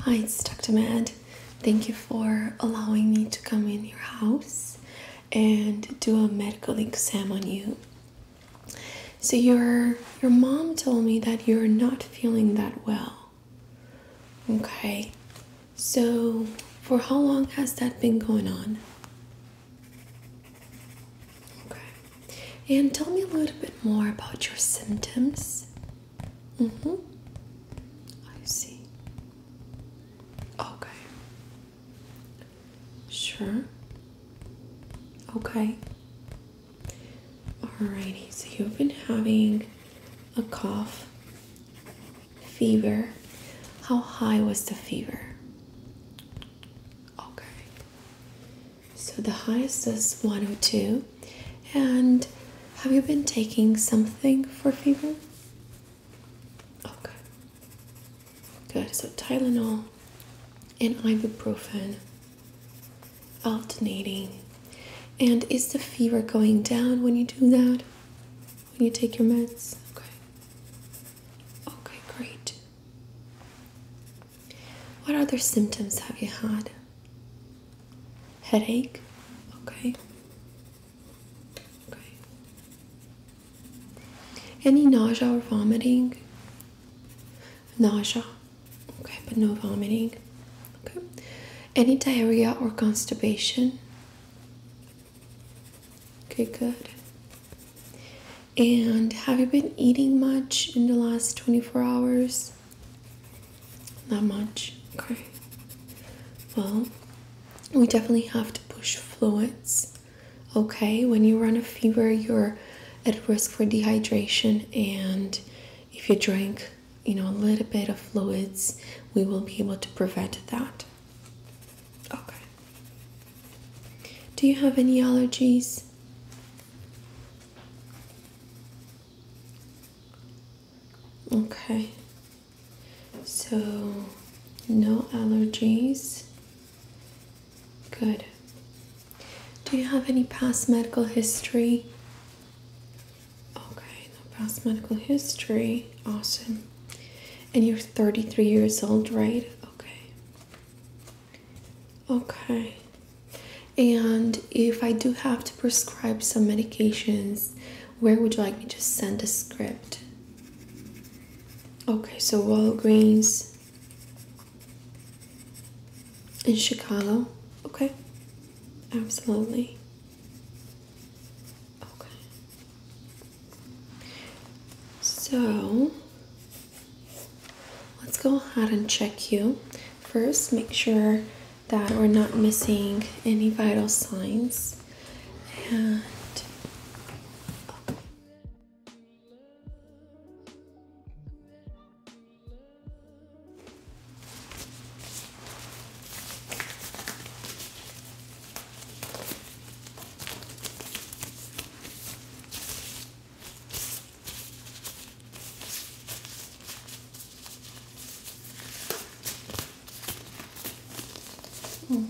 Hi, it's Dr. Mad. Thank you for allowing me to come in your house and do a medical exam on you. So your your mom told me that you're not feeling that well. Okay. So for how long has that been going on? Okay. And tell me a little bit more about your symptoms. Mm-hmm. I see. Okay. Sure. Okay. Alrighty, so you've been having a cough, fever. How high was the fever? Okay. So the highest is 102. And have you been taking something for fever? Okay. Good. So Tylenol and ibuprofen alternating. And is the fever going down when you do that? When you take your meds? Okay. Okay, great. What other symptoms have you had? Headache? Okay. Okay. Any nausea or vomiting? Nausea. Okay, but no vomiting. Okay. Any diarrhea or constipation? Okay, good. And have you been eating much in the last 24 hours? Not much. Okay. Well, we definitely have to push fluids. Okay, when you run a fever, you're at risk for dehydration, and if you drink, you know, a little bit of fluids, we will be able to prevent that. Okay. Do you have any allergies? Okay, so no allergies. Good. Do you have any past medical history? Okay, no past medical history. Awesome. And you're 33 years old, right? Okay. Okay. And if I do have to prescribe some medications, where would you like me to send a script? Okay, so Walgreens in Chicago. Okay, absolutely. Okay. So Let's go ahead and check you. First, make sure that we're not missing any vital signs. Okay.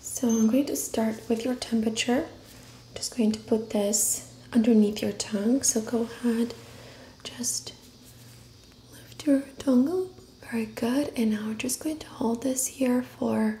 So I'm going to start with your temperature. I'm just going to put this underneath your tongue. So go ahead, just lift your tongue Very good. And now I'm just going to hold this here for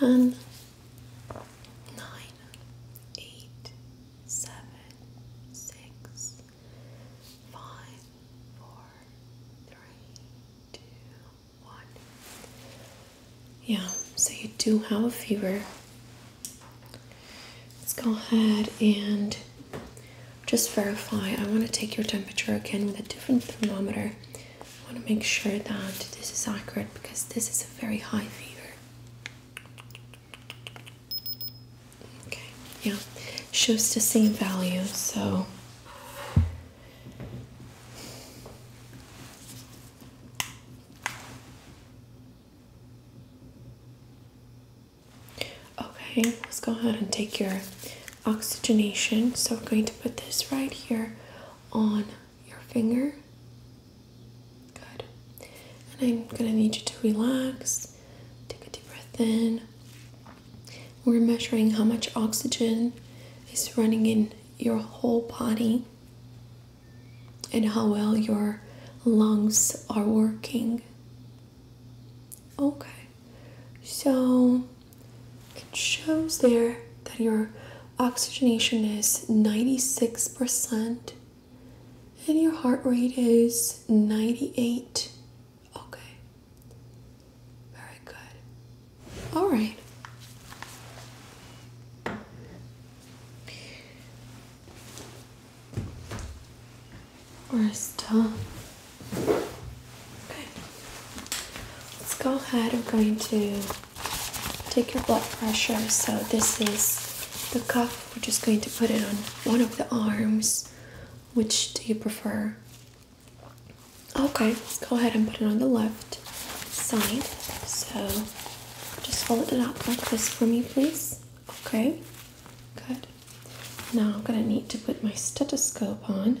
11, Yeah, so you do have a fever. Let's go ahead and just verify. I want to take your temperature again with a different thermometer. I want to make sure that this is accurate because this is a very high fever. Okay, yeah, shows the same value, so okay, let's go ahead and take your oxygenation. So I'm going to put this right here on your finger. Good. And I'm going to need you to relax. Take a deep breath in. We're measuring how much oxygen is running in your whole body and how well your lungs are working. Okay, so it shows there that your oxygenation is 96% and your heart rate is 98. Okay, very good. All right. We're done. Let's go ahead. I'm going to take your blood pressure. So this is the cuff. We're just going to put it on one of the arms. Which do you prefer? Okay, let's go ahead and put it on the left side. So just fold it up like this for me, please. Okay, good. Now I'm gonna need to put my stethoscope on.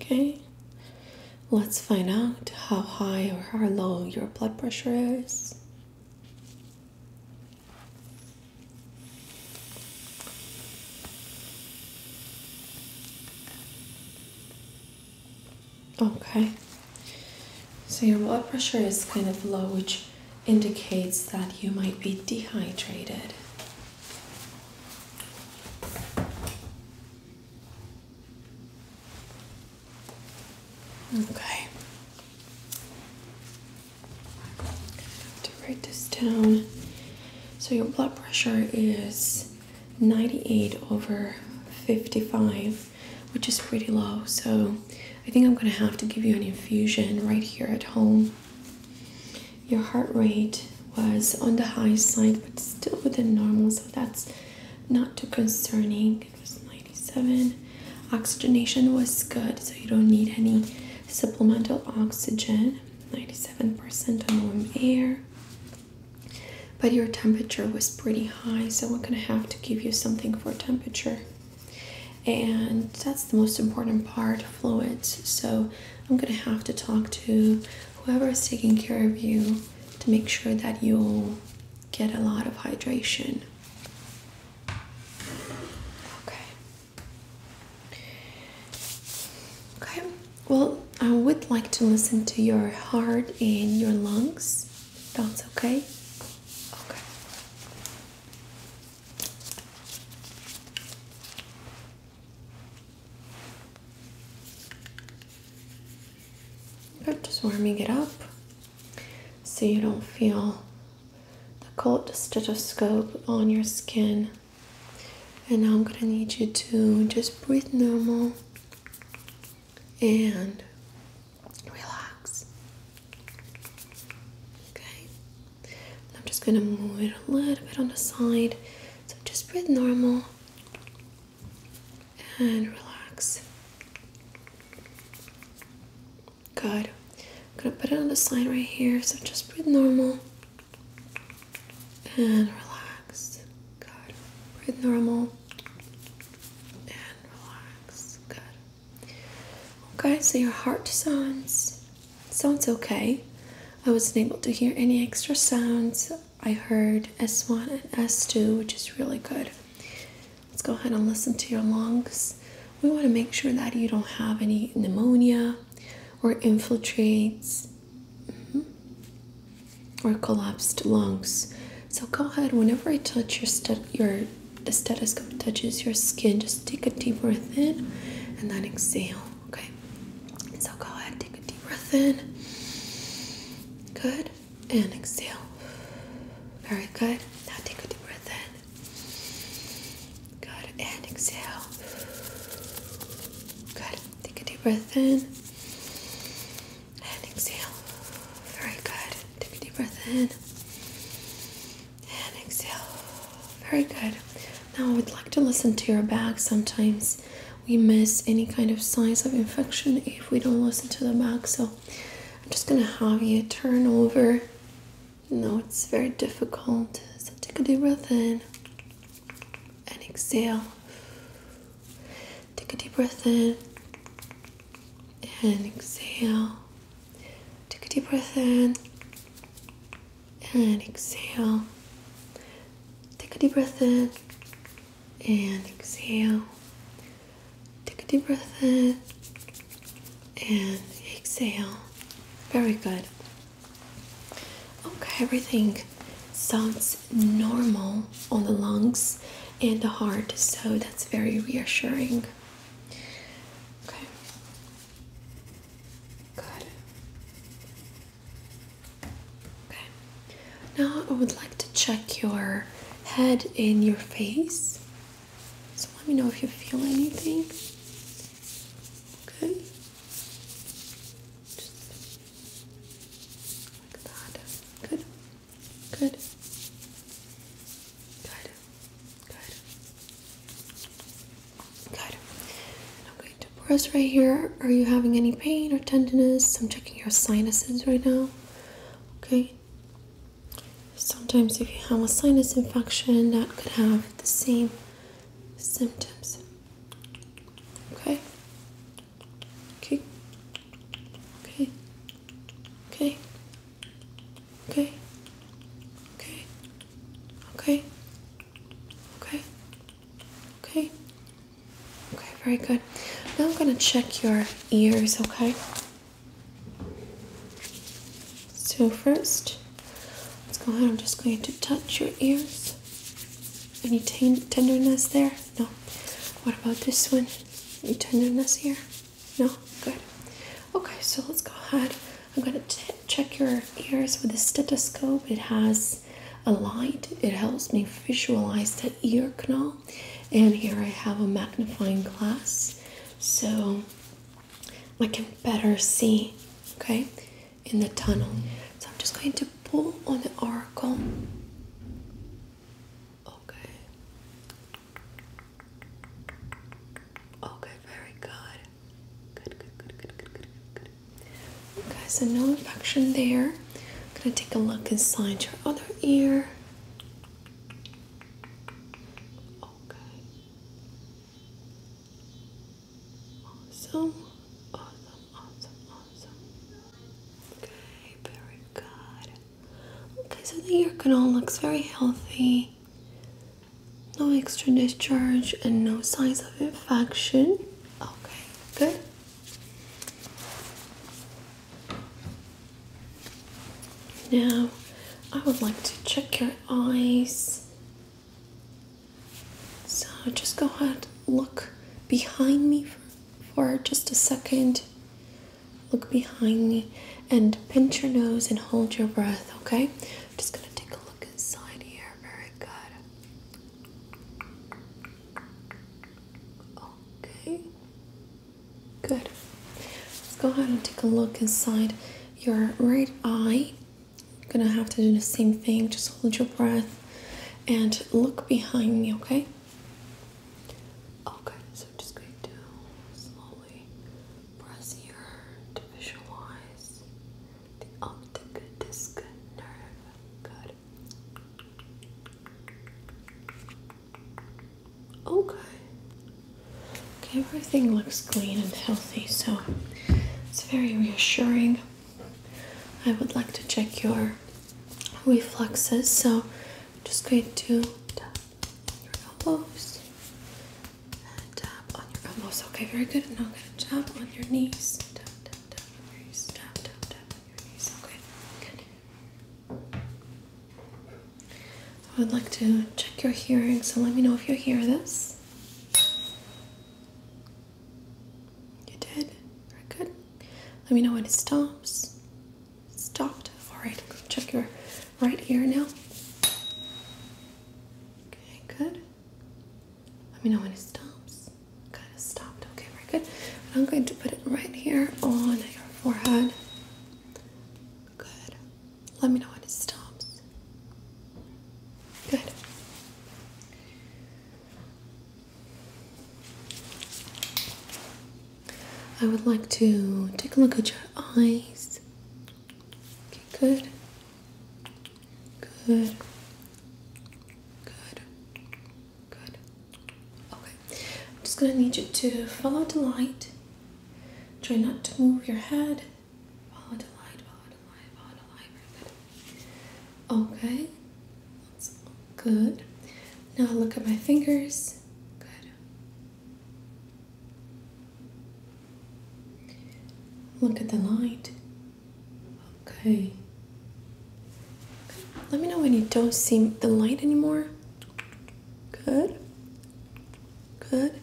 Okay, let's find out how high or how low your blood pressure is. Okay, so your blood pressure is kind of low, which indicates that you might be dehydrated. Okay, to write this down. So your blood pressure is 98 over 55 which is pretty low. So I think I'm going to have to give you an infusion right here at home. Your heart rate was on the high side, but still within normal, so that's not too concerning. It was 97. Oxygenation was good, so you don't need any supplemental oxygen. 97% on warm air. But your temperature was pretty high, so we're gonna have to give you something for temperature. And that's the most important part fluids. So I'm gonna have to talk to whoever is taking care of you to make sure that you'll get a lot of hydration. Okay. Okay, well, I would like to listen to your heart and your lungs. Sounds okay? Okay. Good, just warming it up so you don't feel the cold stethoscope on your skin. And now I'm gonna need you to just breathe normal and relax. Okay, I'm just gonna move it a little bit on the side. So just breathe normal and relax. Good. I'm gonna put it on the side right here. So just breathe normal and relax. Good. Breathe normal Okay, so your heart sounds sounds okay. I wasn't able to hear any extra sounds. I heard S1 and S2, which is really good. Let's go ahead and listen to your lungs. We want to make sure that you don't have any pneumonia or infiltrates. Mm-hmm or collapsed lungs. So go ahead, whenever I touch your your the stethoscope touches your skin, just take a deep breath in and then exhale. Okay. So go ahead, take a deep breath in. Good. And exhale. Very good. Now take a deep breath in. Good. And exhale. Good. Take a deep breath in and exhale. Very good. Take a deep breath in and exhale. Very good. Now, I would like to listen to your back. Sometimes we miss any kind of signs of infection if we don't listen to the back. So, I'm just gonna have you turn over. No, it's very difficult. So, take a deep breath in and exhale. Take a deep breath in and exhale. Take a deep breath in and exhale. Take a deep breath in and exhale. Take a deep breath in and exhale. Very good. Okay, everything sounds normal on the lungs and the heart, so that's very reassuring. Okay. Good. Okay. Now I would like to check your head in your face. So let me know if you feel anything. Okay. Just like that. Good. Good. Good. Good. Good. And I'm going to press right here. Are you having any pain or tenderness? I'm checking your sinuses right now. Okay. Sometimes, if you have a sinus infection, that could have the same symptoms. Okay. Okay. Okay. Okay. Okay. Okay. Okay. Okay. Okay. Okay, very good. Now I'm going to check your ears, okay? So first, let's go ahead. I'm just going to touch your ears. Any tenderness there? No. What about this one? Any tenderness here? No? Good. Okay, so let's go ahead. I'm going to check your ears with a stethoscope. It has a light, it helps me visualize that ear canal. And here I have a magnifying glass so I can better see, okay, in the tunnel. So I'm just going to pull on the oracle. Okay. Okay, very good. Good, good, good, good, good, good, Okay, so no infection there. I'm gonna take a look inside your other ear. Okay. Awesome. Awesome, awesome, awesome. Okay, very good. Okay, so the ear canal looks very healthy. No extra discharge and no signs of infection. Okay, good. Now, I would like to check your eyes. So just go ahead, look behind me for, for just a second. Look behind me and pinch your nose and hold your breath, okay? I'm just gonna take a look inside here. Very good. Okay. Good. Let's go ahead and take a look inside your right eye. gonna have to do the same thing, just hold your breath and look behind me, okay? Okay, so just going to slowly press here to visualize the optic disc nerve. Okay. Okay, everything looks clean and healthy, so it's very reassuring. I would like to check your reflexes, so just going to tap your elbows and tap on your elbows. Okay, very good. now I'm going to tap on your knees. tap on your knees. Tap, tap, tap on your knees. Okay, good. I would like to check your hearing, so let me know if you hear this. You did? Very good. Let me know when it stops stopped. All right, check your right ear now. Okay, good. Let me know when it stops. Kind of stopped. Okay, very good. I'm going to put it right here on your forehead. Good. Let me know when it stops. Good. I would like to take a look at your eyes. Okay, good. Good. Good. Good. Okay. I'm just going to need you to follow the light. Try not to move your head. Follow the light, follow the light, follow the light. Very good. Okay. Good. Now look at my fingers. Good. Look at the light. Okay. Let me know when you don't see the light anymore. Good. Good.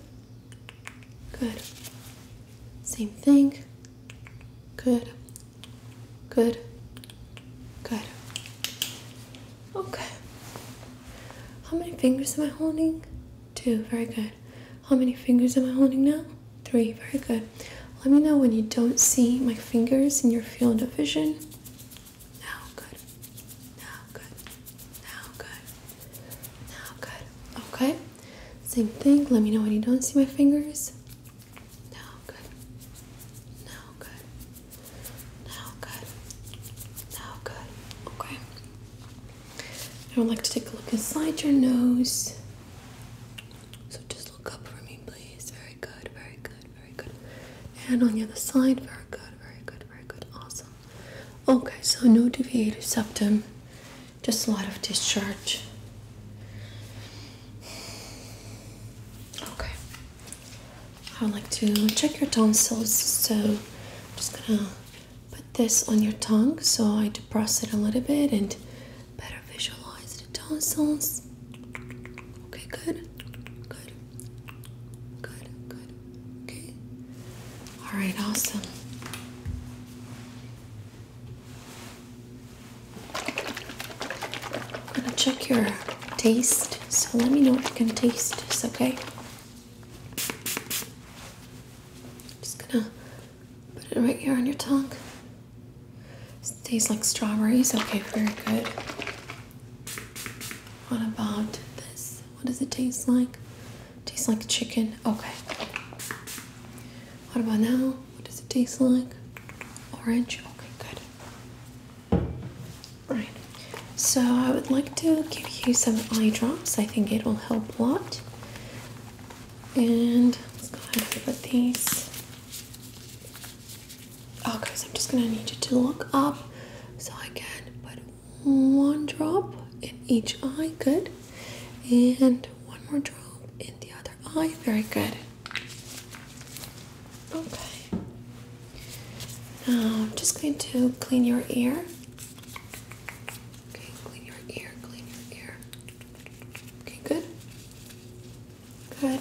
Good. Same thing. Good. Good. Good. Okay. How many fingers am I holding? Two. Very good. How many fingers am I holding now? Three. Very good. Let me know when you don't see my fingers in your field of vision. Now good. Now good. Now good. Now good. Okay. Same thing. Let me know when you don't see my fingers. Now good. Now good. Now good. Now good. Okay. I would like to take a look inside your nose. So just look up for me, please. Very good, very good, very good. And on the other side, very good, very good, very good. Awesome. Okay, so no deviated septum, just a lot of discharge. Okay. I like to check your tonsils. So I'm just gonna put this on your tongue so I depress it a little bit and better visualize the tonsils. Okay, good, good, good, good. Okay. All right, awesome. I'm gonna check your taste. So let me know if you can taste this, okay? just gonna put it right here on your tongue. It tastes like strawberries. Okay, very good. What about this? What does it taste like? It tastes like chicken. Okay. What about now? What does it taste like? Orange. Okay, good. Right, so I would like to give you some eye drops. I think it will help a lot. And let's go ahead and put these. Oh, guys, I'm just gonna need you to look up so I can put one drop in each eye. Good, and one more drop in the other eye. Very good. Okay. Um, I'm just going to clean your ear. Okay, clean your ear, clean your ear. Okay, good. Good.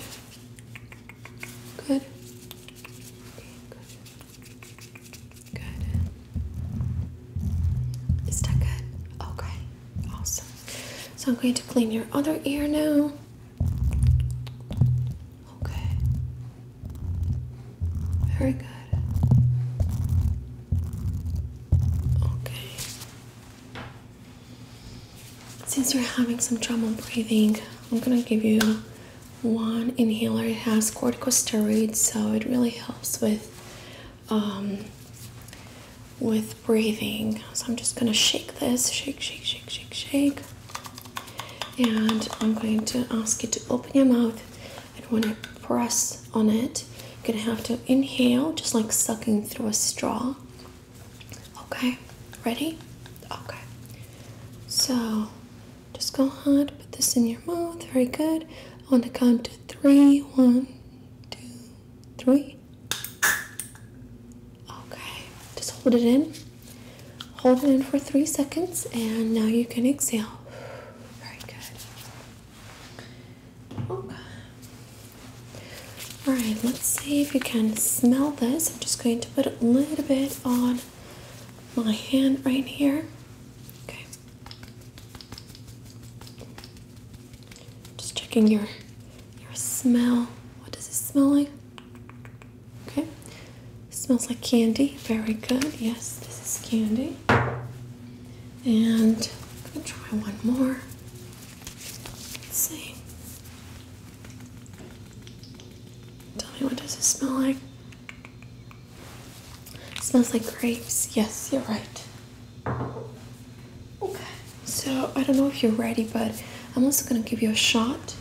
Good. good. Good. Is that good? Okay. Awesome. So I'm going to clean your other ear now. Okay. Very good. Okay. Since you're having some trouble breathing, I'm gonna give you one inhaler. It has corticosteroids, so it really helps with um with breathing. So I'm just gonna shake this, shake, shake, shake, shake, shake and I'm going to ask you to open your mouth and when I press on it you're gonna have to inhale just like sucking through a straw okay ready okay so just go ahead put this in your mouth very good on the count of three one two three okay just hold it in Hold it in for three seconds, and now you can exhale. Very good. Okay. Oh. All right, let's see if you can smell this. I'm just going to put a little bit on my hand right here. Okay. Just checking your your smell. What does it smell like? Okay. Smells like candy. Very good. Yes, this is candy. And I'm gonna try one more. see. Tell me what does it smell like? smells like grapes. Yes, you're right. Okay. So I don't know if you're ready, but I'm also gonna give you a shot.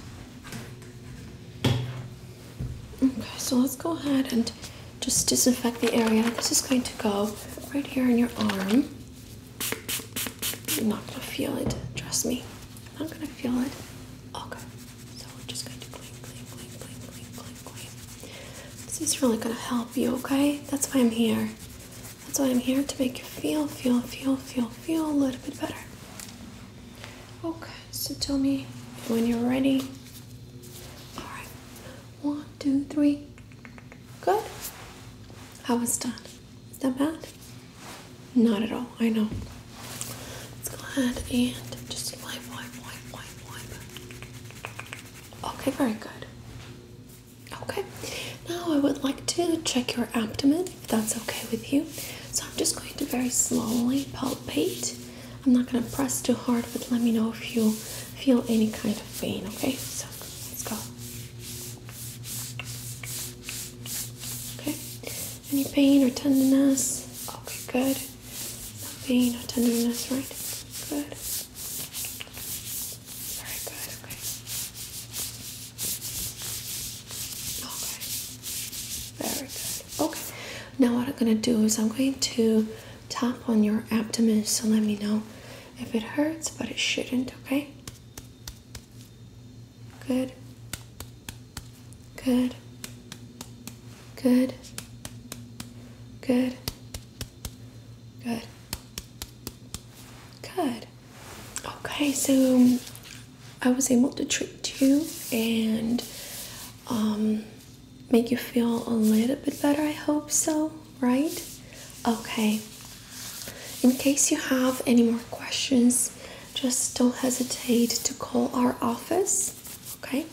Okay, so let's go ahead and just disinfect the area. This is going to go right here in your arm. I'm not gonna feel it, trust me. I'm not gonna feel it. Okay, so we're just going to clean, clean, clean, clean, clean, clean, clean. This is really gonna help you, okay? That's why I'm here. That's why I'm here to make you feel, feel, feel, feel, feel a little bit better. Okay. So tell me when you're ready. All right. One, two, three. Good. I was done. Is that bad? Not at all. I know. Let's go ahead and just wipe, wipe, wipe, wipe, wipe. Okay, very good. Okay. Now I would like to check your abdomen that's okay with you. So I'm just going to very slowly palpate. I'm not going to press too hard, but let me know if you feel any kind of pain, okay? So let's go. Okay, any pain or tenderness? Okay, good. No pain no tenderness, right? Good. Very good, okay. Okay. Very good. Okay. Now what I'm gonna do is I'm going to tap on your abdomen. So let me know if it hurts, but it shouldn't. Okay. Good. Good. Good. Good. Good. Good. Okay, so I was able to treat you and um, make you feel a little bit better. I hope so, right? Okay. In case you have any more questions, just don't hesitate to call our office, okay?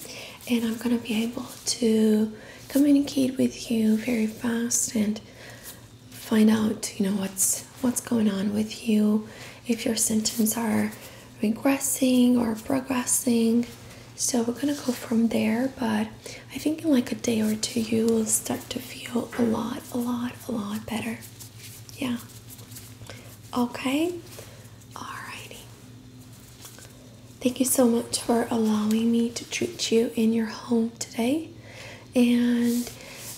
And I'm gonna be able to communicate with you very fast and find out, you know, what's what's going on with you, if your symptoms are regressing or progressing. So we're gonna go from there, but I think in like a day or two, you will start to feel a lot, a lot, a lot better. Yeah. Okay. Alrighty. Thank you so much for allowing me to treat you in your home today. And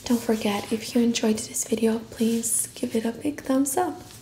don't forget, if you enjoyed this video, please give it a big thumbs up.